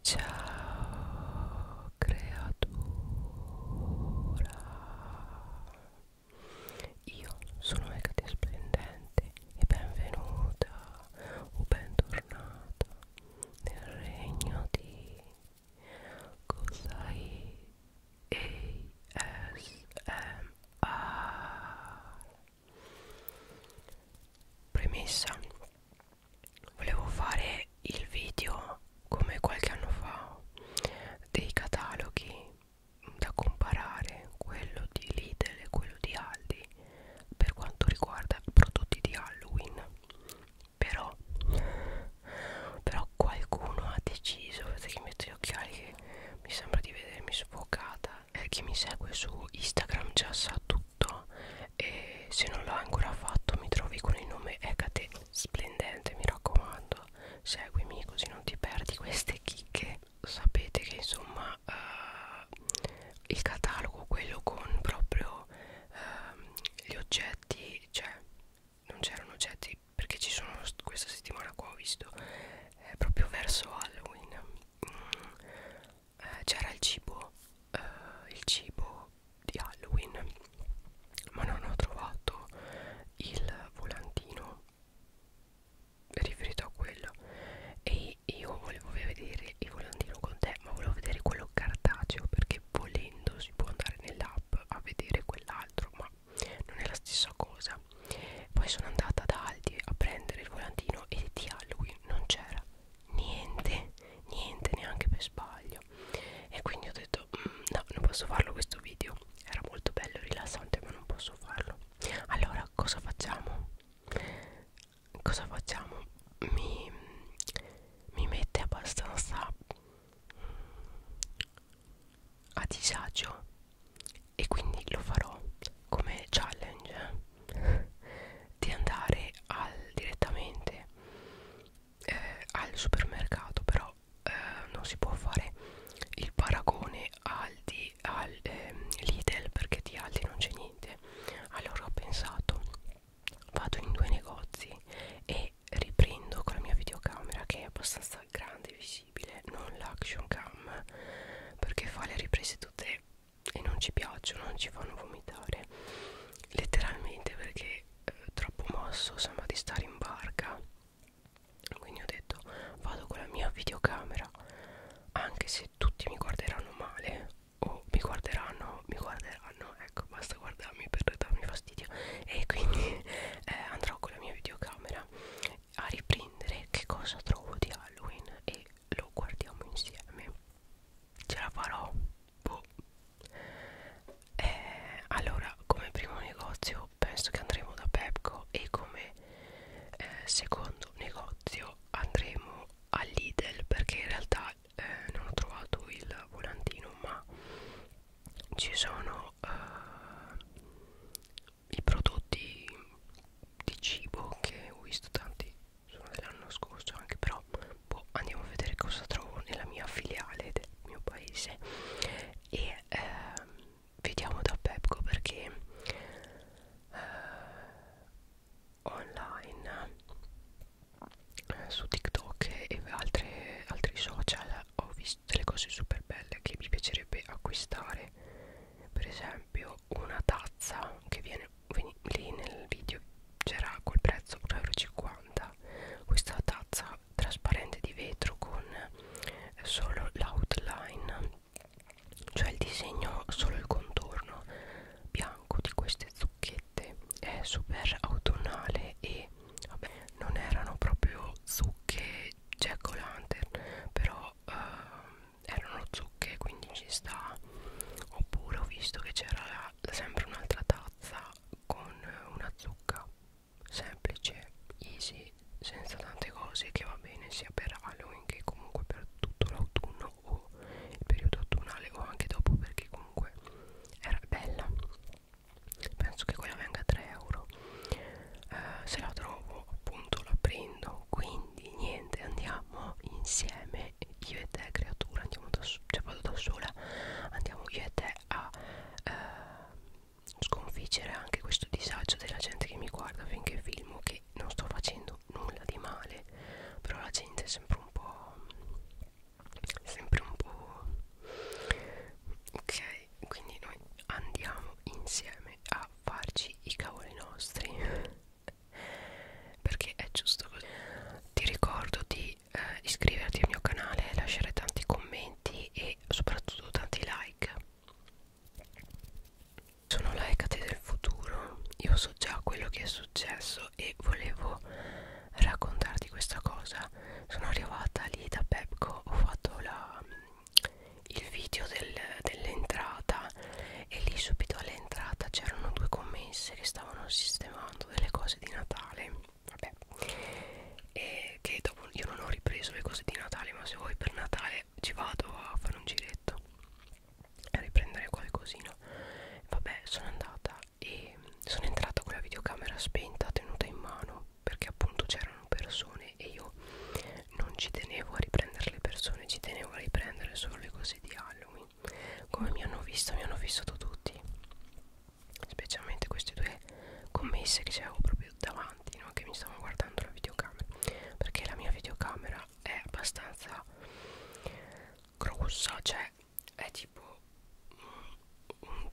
Ciao creatura Io sono Megati Splendente e benvenuta o bentornata nel regno di Cosai ASMR Premessa volevo fare il video come qualche anno fa dei cataloghi da comparare quello di Lidl e quello di Aldi per quanto riguarda prodotti di Halloween però però qualcuno ha deciso vedete che metto gli occhiali che mi sembra di vedermi sfocata eh, chi mi segue su Instagram già sa tutto fatto e se non l'hai ancora fatto mi trovi con il nome Ecate Splendente mi raccomando seguimi così non ti perdi queste chicche sapete che insomma uh, il catalogo quello con proprio uh, gli oggetti cioè non c'erano oggetti perché ci sono questa settimana qua ho visto eh, proprio verso Halloween mm, eh, c'era il cibo eh, il cibo di Halloween ma non ho trovato il volantino riferito a quello e io volevo vedere il volantino con te ma volevo vedere quello cartaceo perché volendo si può andare nell'app a vedere quell'altro ma non è la stessa cosa poi sono andata da Aldi a prendere il volantino e di Halloween non c'era niente niente neanche per sbaglio e quindi ho detto mm, no non posso farlo questo video era molto bello rilassante ma non posso farlo allora cosa facciamo cosa facciamo mi, mi mette abbastanza mm, a disagio e quindi lo farò come challenge eh. di andare al, direttamente eh, al supermercato però eh, non si può fare il paragone Aldi al eh, Lidl perché di Aldi non c'è niente allora ho pensato vado in due negozi e riprendo con la mia videocamera che è abbastanza grande e visibile non l'action cam perché fa le riprese tutte e non ci piacciono, non ci fanno vomitare letteralmente perché eh, troppo mosso sembra di stare in barca quindi ho detto vado con la mia videocamera anche se tutti mi guarderanno male o mi guarderanno mi guarderanno ecco basta guardarmi per darmi fastidio e quindi eh, andrò con la mia videocamera a riprendere che cosa trovo di Halloween e lo guardiamo insieme ce la farò boh. eh, allora come primo negozio penso che andremo da Pepco e come eh, secondo negozio andremo all'Idel perché in realtà eh, non ho trovato il volantino ma ci sono eh, i prodotti di cibo che ho visto tanti sono dell'anno scorso anche però boh, andiamo a vedere cosa trovo nella mia filiale del mio paese e ehm, vediamo da Pepco perché eh, online eh, su TikTok e altre, altri social ho visto delle cose super belle che mi piacerebbe acquistare per esempio una tazza che viene lì nel video c'era col prezzo 1,50 questa tazza trasparente di vetro con eh, solo l'outline cioè il disegno solo il contorno bianco di queste zucchette è super autunnale e vabbè, non erano proprio zucche jack o lantern però eh, erano zucche quindi ci sta oppure ho visto che c'era sarà sempre un'altra tazza con una zucca semplice, easy, senza tante cose che va bene sia per Halloween che comunque per tutto l'autunno o il periodo autunnale o anche dopo perché comunque era bella penso che quella venga a 3 euro eh, se la trovo appunto la prendo quindi niente andiamo andiamo insieme io e te creatura andiamo da sola cioè vado da sola andiamo io e te a eh, sconfiggere anche questo disagio della gente che mi guarda finché filmo che non sto facendo nulla di male però la gente è sempre un po' sempre un po' ok quindi noi andiamo insieme a farci i cavoli nostri perché è giusto così ti ricordo di eh, iscriverti al mio canale lasciare tanti commenti e soprattutto tanti like sono la Ecate del futuro io so già quello che è successo e volevo raccontarti questa cosa sono arrivata lì da Pepco ho fatto la, il video del, dell'entrata e lì subito all'entrata c'erano due commesse che stavano sistemando delle cose di Natale vabbè e che dopo io non ho ripreso le cose di Natale ma se vuoi per Natale ci vado a fare un giretto a riprendere qualcosina vabbè sono andata e sono entrata con la videocamera spenta tenuta in mano perché appunto c'erano persone e io non ci tenevo a riprendere le persone ci tenevo a riprendere solo le cose di Halloween come mi hanno visto mi hanno vissuto tutti specialmente queste due commesse che c'erano proprio davanti no? che mi stavano guardando la videocamera perché la mia videocamera è abbastanza grossa cioè è tipo un,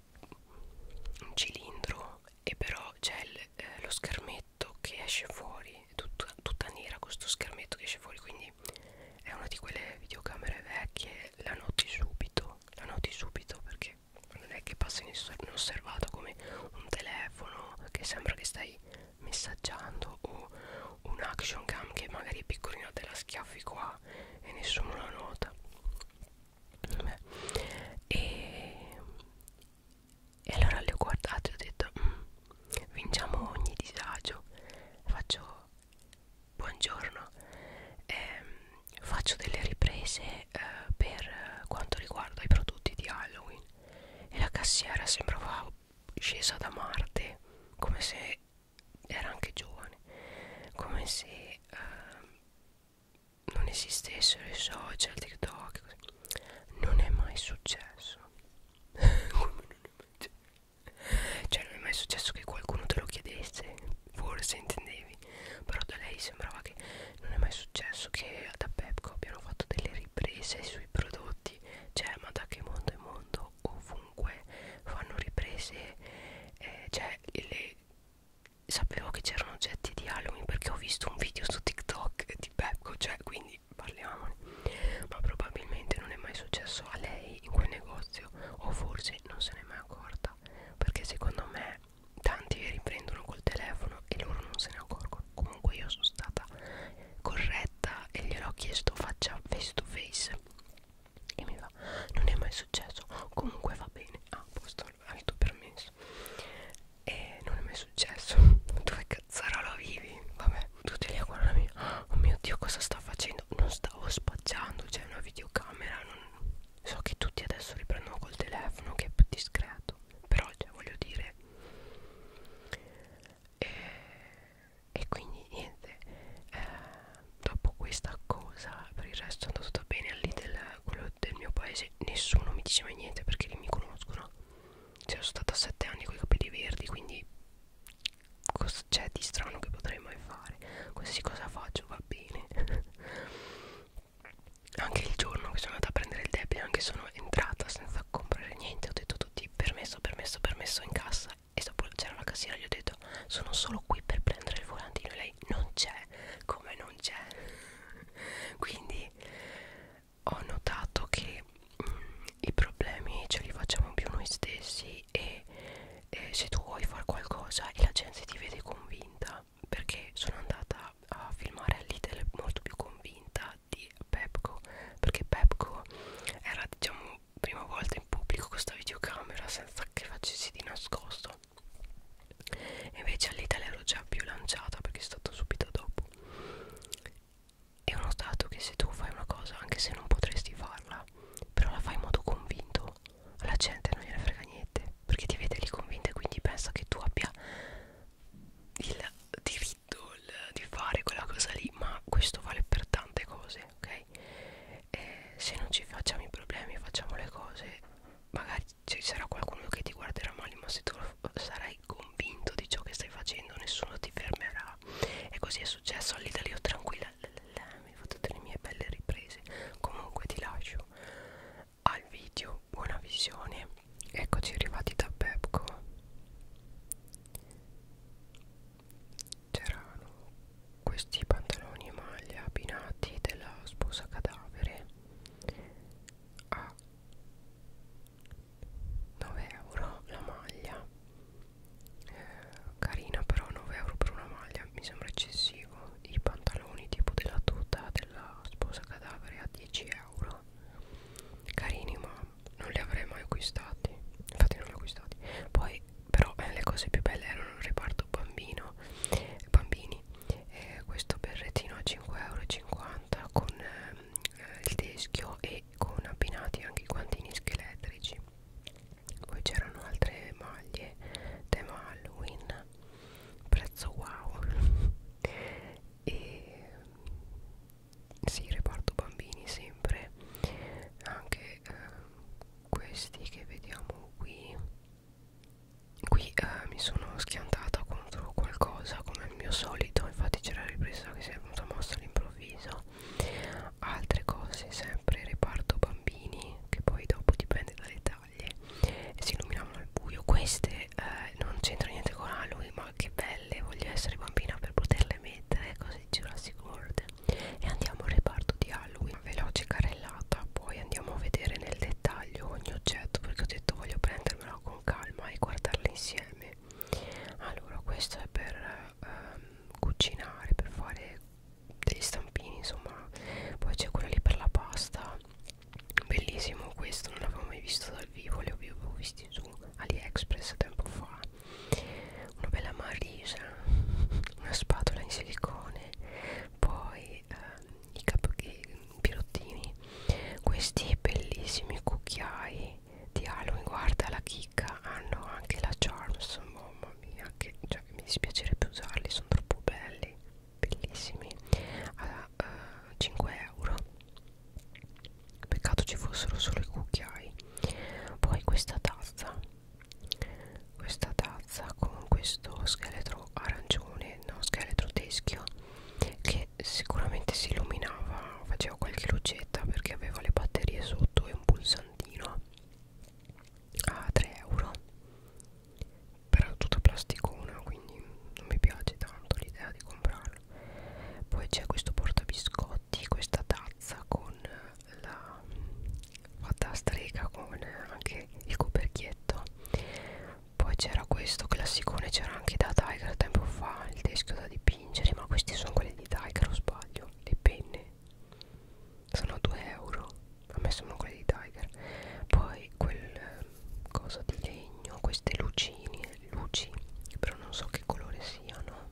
un cilindro e però c'è eh, lo schermetto che esce fuori tutta, tutta nera questo schermetto che esce fuori quindi ok è una di quelle videocamere vecchie la noti subito la noti subito perché non è che passa inosservato come un telefono che sembra che stai messaggiando o un action cam che magari è piccolino te la schiaffi qua e nessuno la nota Beh. E, e allora le ho guardate e ho detto mm, vinciamo ogni disagio faccio Buongiorno, ehm, faccio delle riprese eh, per quanto riguarda i prodotti di Halloween e la cassiera sembrava scesa da Marte, come se era anche giovane, come se eh, non esistessero i social, TikTok, così. non è mai successo. come non è mai successo? Cioè non è mai successo che qualcuno te lo chiedesse Forse intendevi Però da lei sembrava che non è mai successo che da Pepco abbiano fatto delle riprese sui prodotti Cioè ma da che mondo è mondo ovunque fanno riprese eh, Cioè le... sapevo che c'erano oggetti di Halloween perché ho visto un video su TikTok di Pepco Cioè quindi parliamo persone ma probabilmente non è mai successo a lei in quel negozio o forse non se n'è mai accorta perché secondo me tanti riprendono col telefono e loro non se ne accorgono comunque io sono stata corretta e gliel'ho chiesto faccia face to face e mi va non è mai successo comunque va bene ah posto hai tuo permesso e non è mai successo dove cazzarola vivi vabbè vabbè tutti lì a guardarmi oh mio dio cosa sta facendo non stavo spacciando c'è cioè una videocamera non... so che tutti adesso riprendono col telefono che è più discreto però cioè voglio dire e, e quindi niente eh, dopo questa cosa per il resto è andato tutto bene lì del, quello del mio paese nessuno mi diceva niente perché lì mi conoscono cioè sono stata a 7 anni con i capelli verdi quindi cosa c'è cioè, di strano che potrei mai fare qualsiasi cosa faccio va bene anche il giorno che sono andata a prendere il debito anche sono entrata senza comprare niente ho detto tutti permesso permesso permesso in cassa e dopo c'era la cassiera gli ho detto sono solo qui per prendere il volantino e lei non c'è come non c'è quindi ho notato che i problemi ce li facciamo più noi stessi e, e se tu vuoi fare qualcosa e la gente ti vede convinta perché sono andata a filmare all'Ital molto più convinta di Pepco perché Pepco era diciamo prima volta in pubblico con questa videocamera senza che facessi di nascosto invece all'Italia ero già più lanciata perché è stato subito dopo e ho notato che se tu fai una cosa anche se non potresti farla però la fai in modo convinto alla gente non gliene frega niente perché ti vede lì convinta e quindi pensa che tu abbia il diritto il, di fare quella cosa lì ma questo vale per tante cose ok e se non ci facciamo i problemi facciamo le cose magari ci sarà qualcuno che ti guarderà male ma se tu sarai convinto di ciò che stai facendo nessuno ti fermerà e così è successo all'Italia tranquilla mi fate delle mie belle riprese comunque ti lascio al video buona visione eccoci arrivati da Pepco c'erano questi pantaloni e maglia abbinati della sposa cadavere a 9 euro la maglia eh, carina però 9 euro per una maglia mi sembra eccessivo i pantaloni tipo della tuta della sposa cadavere a 10 euro carini ma non li avrei mai acquistati infatti non li ho acquistati poi però eh, le cose più belle erano il reparto bambino bambini eh, questo berrettino a 5,50 euro con ehm, eh, il teschio e con abbinati anche i guantini scheletrici poi c'erano altre maglie tema Halloween prezzo wow e mm, sì reparto bambini sempre anche eh, questi che vediamo qui qui eh, mi sono schiantata contro qualcosa come il mio solito infatti c'era la ripresa che si è venuta mossa all'improvviso altre cose sempre reparto bambini che poi dopo dipende dalle taglie e si illuminavano al buio queste eh, non c'entra niente con Halloween ah, ma che belle voglio essere bambina per poterle mettere così Jurassic World e andiamo al reparto di Halloween Una veloce carrellata poi andiamo a vedere nel dettaglio ogni oggetto perché ho detto voglio prendermelo con calma e guardarle insieme allora questo è per ehm, cucinare per fare degli stampini insomma poi c'è quello lì per la pasta bellissimo questo non l'avevo mai visto dal vivo li avevo visti su aliexpress tempo fa una bella marisa una spatola in silicone poi ehm, i capochini i pirottini questi bellissimi cucchiai di Halloween guarda la chicca hanno anche la charms mamma mia che cioè, mi dispiacerebbe usarli sono troppo belli bellissimi a uh, eh, 5 euro peccato ci fossero solo i cucchiai poi questa tazza questa tazza con questo scheletro arancione no scheletro teschio che sicuramente si illuminava faceva qualche lucetta perché aveva le batterie sotto e un pulsante croccantino a 3 euro però tutta plasticona quindi non mi piace tanto l'idea di comprarlo poi c'è questo portabiscotti questa tazza con la fatta a strega con anche il coperchietto poi c'era questo classicone c'era anche da Tiger tempo fa il teschio da dipingere ma questi sono quelli di Tiger o sbaglio le penne sono 2 euro a me sono quelli di Tiger poi quel eh, cosa di legno queste lucine luci però non so che colore siano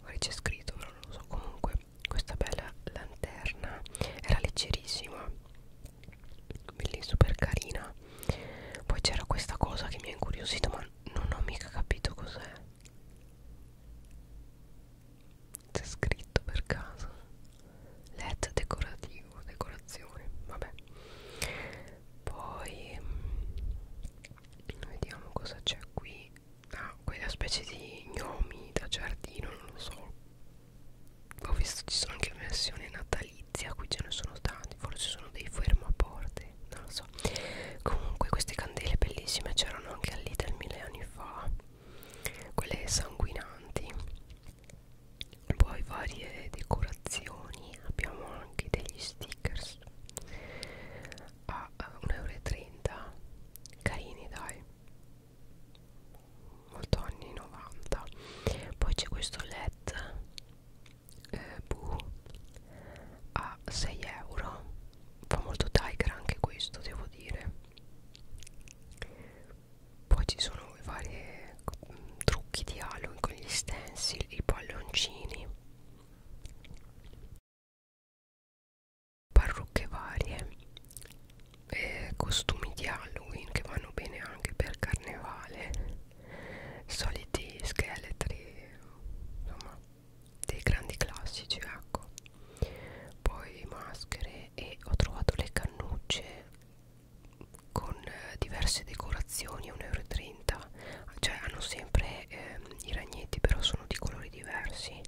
magari c'è scritto però non lo so comunque questa bella lanterna era leggerissima bellissima super carina poi c'era questa cosa che mi ha incuriosito ma non ho mica capito cos'è c'è scritto per caso LED decorativo decorazione vabbè poi mm, vediamo cosa c'è qui ah quella specie di gnomi da giardino non lo so ho visto ci sono anche versioni natalizie qui ce ne sono tanti forse sono dei fermaporte non lo so so ecco. comunque queste candele bellissime c'erano anche al Lidl mille anni fa quelle sanguinanti poi varie decorazioni abbiamo anche degli stickers a 1,30 euro carini dai molto anni 90 poi c'è questo led eh, blu a 6 euro fa molto tiger anche questo devo dire poi ci sono i vari mm, trucchi di Halloween con gli stencil i palloncini parrucche varie eh, costumi di Halloween che vanno bene anche per carnevale soliti scheletri insomma dei grandi classici ecco poi maschere e ho trovato le cannucce con eh, diverse decorazioni 1,30 euro cioè hanno sempre eh, i ragnetti però sono di colori diversi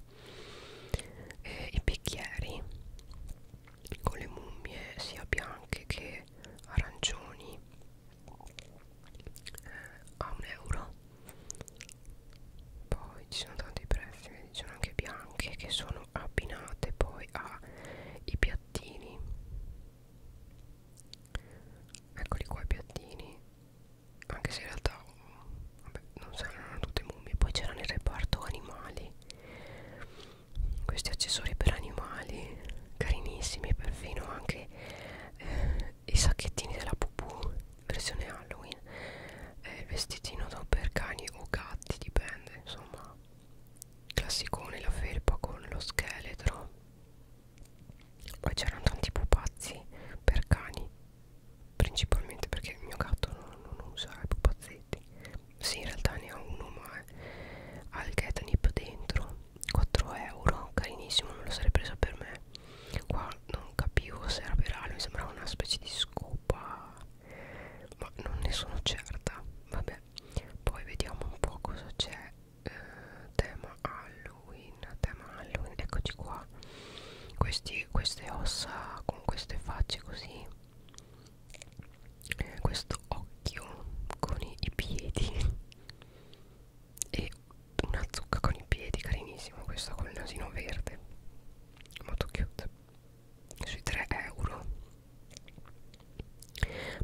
eh, i bicchieri con le mummie sia bianche che arancioni eh, a un euro poi ci sono tanti prezzi ci sono anche bianche che sono abbinate poi ai piattini eccoli qua i piattini anche se in realtà vabbè, non saranno tutte mummie poi c'era nel reparto animali questi accessori per animali carinissimi perfino anche eh, i sacchettini della pupù versione Halloween eh, il vestitino da per cani o gatti dipende insomma classicone la felpa con lo scheletro poi c'erano tanti pupazzi per cani principalmente perché il mio gatto non, non usa i pupazzetti sì in realtà ne ha uno ma eh, ha il catnip dentro 4 euro carinissimo non lo sarei preso per me qua non capivo se era virale mi sembrava una specie di scopa ma non ne sono certa vabbè poi vediamo un po' cosa c'è eh, tema Halloween tema Halloween eccoci qua Questi, queste ossa con queste facce così eh, questo occhio con i, i piedi e una zucca con i piedi carinissima questa col nasino verde molto cute sui 3 euro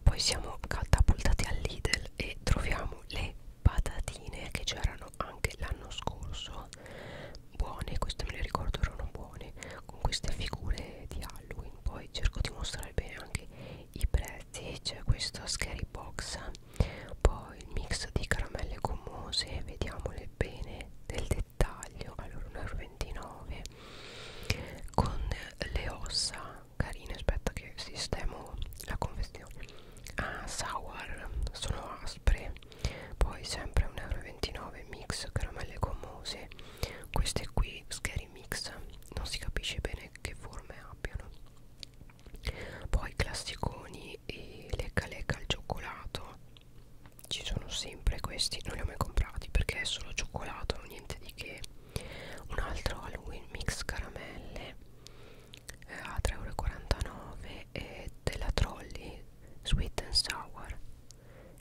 poi siamo catapultati al Lidl e troviamo le patatine che c'erano anche l'anno scorso buone queste me le ricordo erano buone con queste figure di Halloween poi cerco di mostrare bene anche i prezzi c'è questo scary box poi il mix di caramelle gommose vediamole bene nel dettaglio allora 1,29 con le ossa carine aspetta che sistemo la confezione ah sour sono aspre poi sempre 1,29 mix caramelle gommose queste qui scary mix non si capisce bene che forme abbiano poi classiconi e lecca lecca al cioccolato ci sono sempre questi non li ho mai comprati perché è solo cioccolato niente di che un altro Halloween mix caramelle eh, a 3,49€ e della Trolli sweet and sour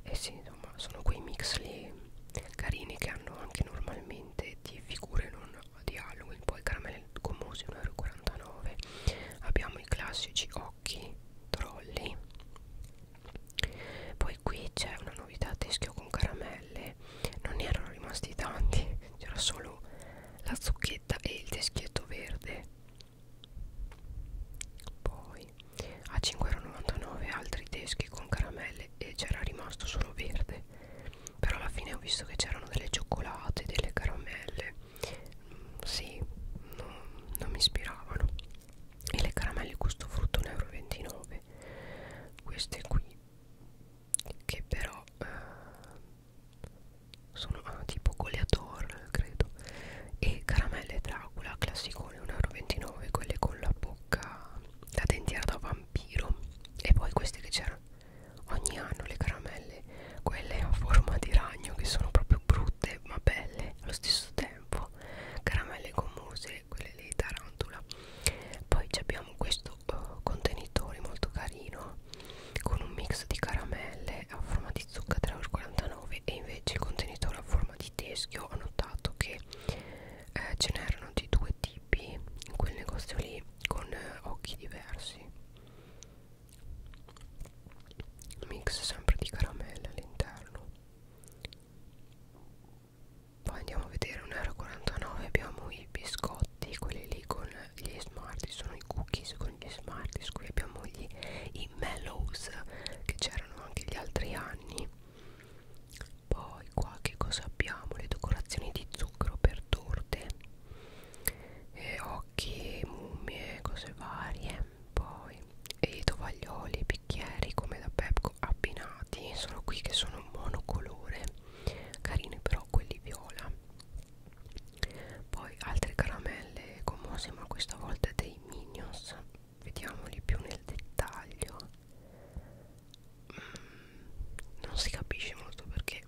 e eh sì insomma sono quei mix lì carini che hanno anche normalmente di figure non di Halloween poi caramelle gommose 1,49 euro abbiamo i classici occhi trolli poi qui c'è una novità teschio con caramelle non ne erano rimasti tanti c'era solo la zucchetta e il teschietto verde poi a 5,99 euro altri teschi con caramelle e c'era rimasto solo verde però alla fine ho visto che c'erano delle cioccolate, delle caramelle mm, sì, no, non mi ispiravano e le caramelle gusto frutto 1,29 euro queste qui che però eh, sono ah, tipo goleador credo e caramelle dracula classicone 1,29 euro quelle con la bocca la dentiera da vampiro e poi queste che c'erano ogni anno le caramelle quelle a forma di ragno che sono proprio brutte ma belle allo stesso tempo caramelle gommose quelle di tarantula poi abbiamo questo uh, eh, contenitore molto carino con un mix di caramelle a forma di zucca 3,49 e invece il contenitore a forma di teschio ho notato che eh, ce n'erano di due tipi in quel negozio lì con eh, occhi diversi mix sempre di caramelle all'interno poi andiamo a vedere 1,49€ abbiamo i biscotti quelli lì con gli smarties sono i cookies con gli smarties qui abbiamo gli, i mellows che c'erano anche gli altri anni poi qua che cosa abbiamo le decorazioni di zucchero per torte eh, occhi, mummie, cose varie poi e tovaglioli e bicchieri come da Pepco abbinati sono qui che sono monocolore carini però quelli viola poi altre caramelle gommose ma questa volta dei Minions vediamoli più nel dettaglio mm, non si capisce molto perché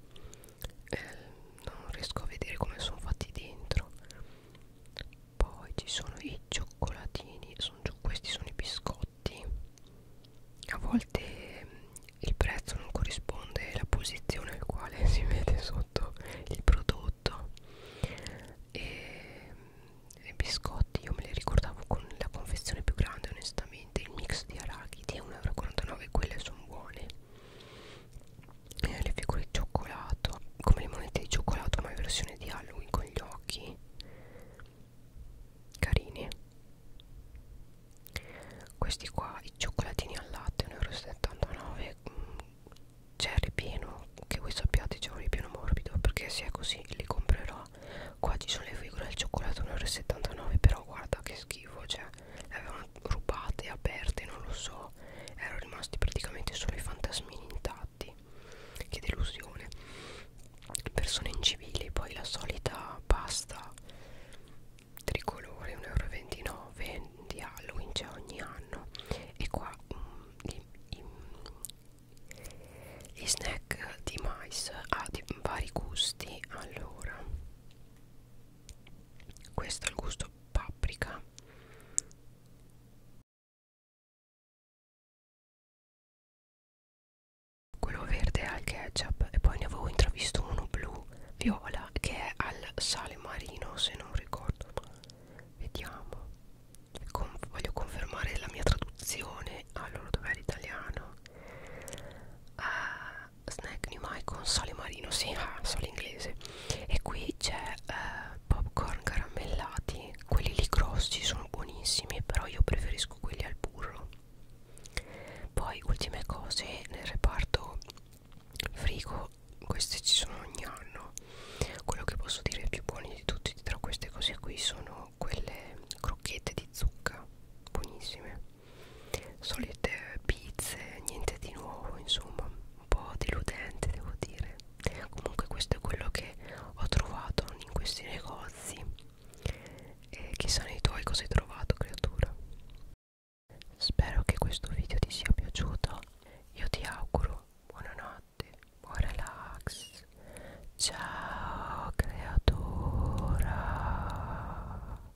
eh, non riesco a vedere come sono fatti dentro poi ci sono i cioccolatini sono, questi sono i biscotti a volte eh, il prezzo non corrisponde alla posizione al quale si vede sotto il prodotto e mm, i biscotti io me li ricordavo con la confezione più grande onestamente il mix di arachidi a 1,49 euro quelle sono buone eh, le figure di cioccolato come le monete di cioccolato ma in versione di Halloween con gli occhi carine questi qua i cioccolatini al latte 1,79 euro mm, c'è ripieno che voi sappiate c'è un ripieno morbido perché se è così li comprerò qua ci sono le figure al cioccolato 1,79 euro però guarda che schifo cioè le avevano rubate, aperte, non lo so erano rimasti praticamente solo i fantasmini intatti che delusione persone incivili poi la solita pasta tricolore 1,29 euro di Halloween c'è ogni anno e qua um, mm, gli, i, gli snack di mais a ah, vari gusti allora questo è il gusto paprika quello verde è al ketchup e poi ne avevo intravisto uno blu viola che è al sale marino se non ricordo male vediamo Con, voglio confermare la mia traduzione allora dov'è l'italiano ah snack new mai con sale marino sì ah, sale inglese e qui c'è eh, popcorn caramellati quelli lì grossi sono buonissimi però io preferisco quelli al burro poi ultime cose nel reparto frigo queste ci sono ogni anno quello che posso dire più buoni di tutti tra queste cose qui sono quelle crocchette di zucca buonissime solite pizze niente di nuovo insomma un po' deludente devo dire comunque questo è quello che ho trovato in questi negozi e chissà nei tuoi cosa hai trovato creatura spero che questo video ti sia piaciuto io ti auguro buonanotte buon relax ciao creatura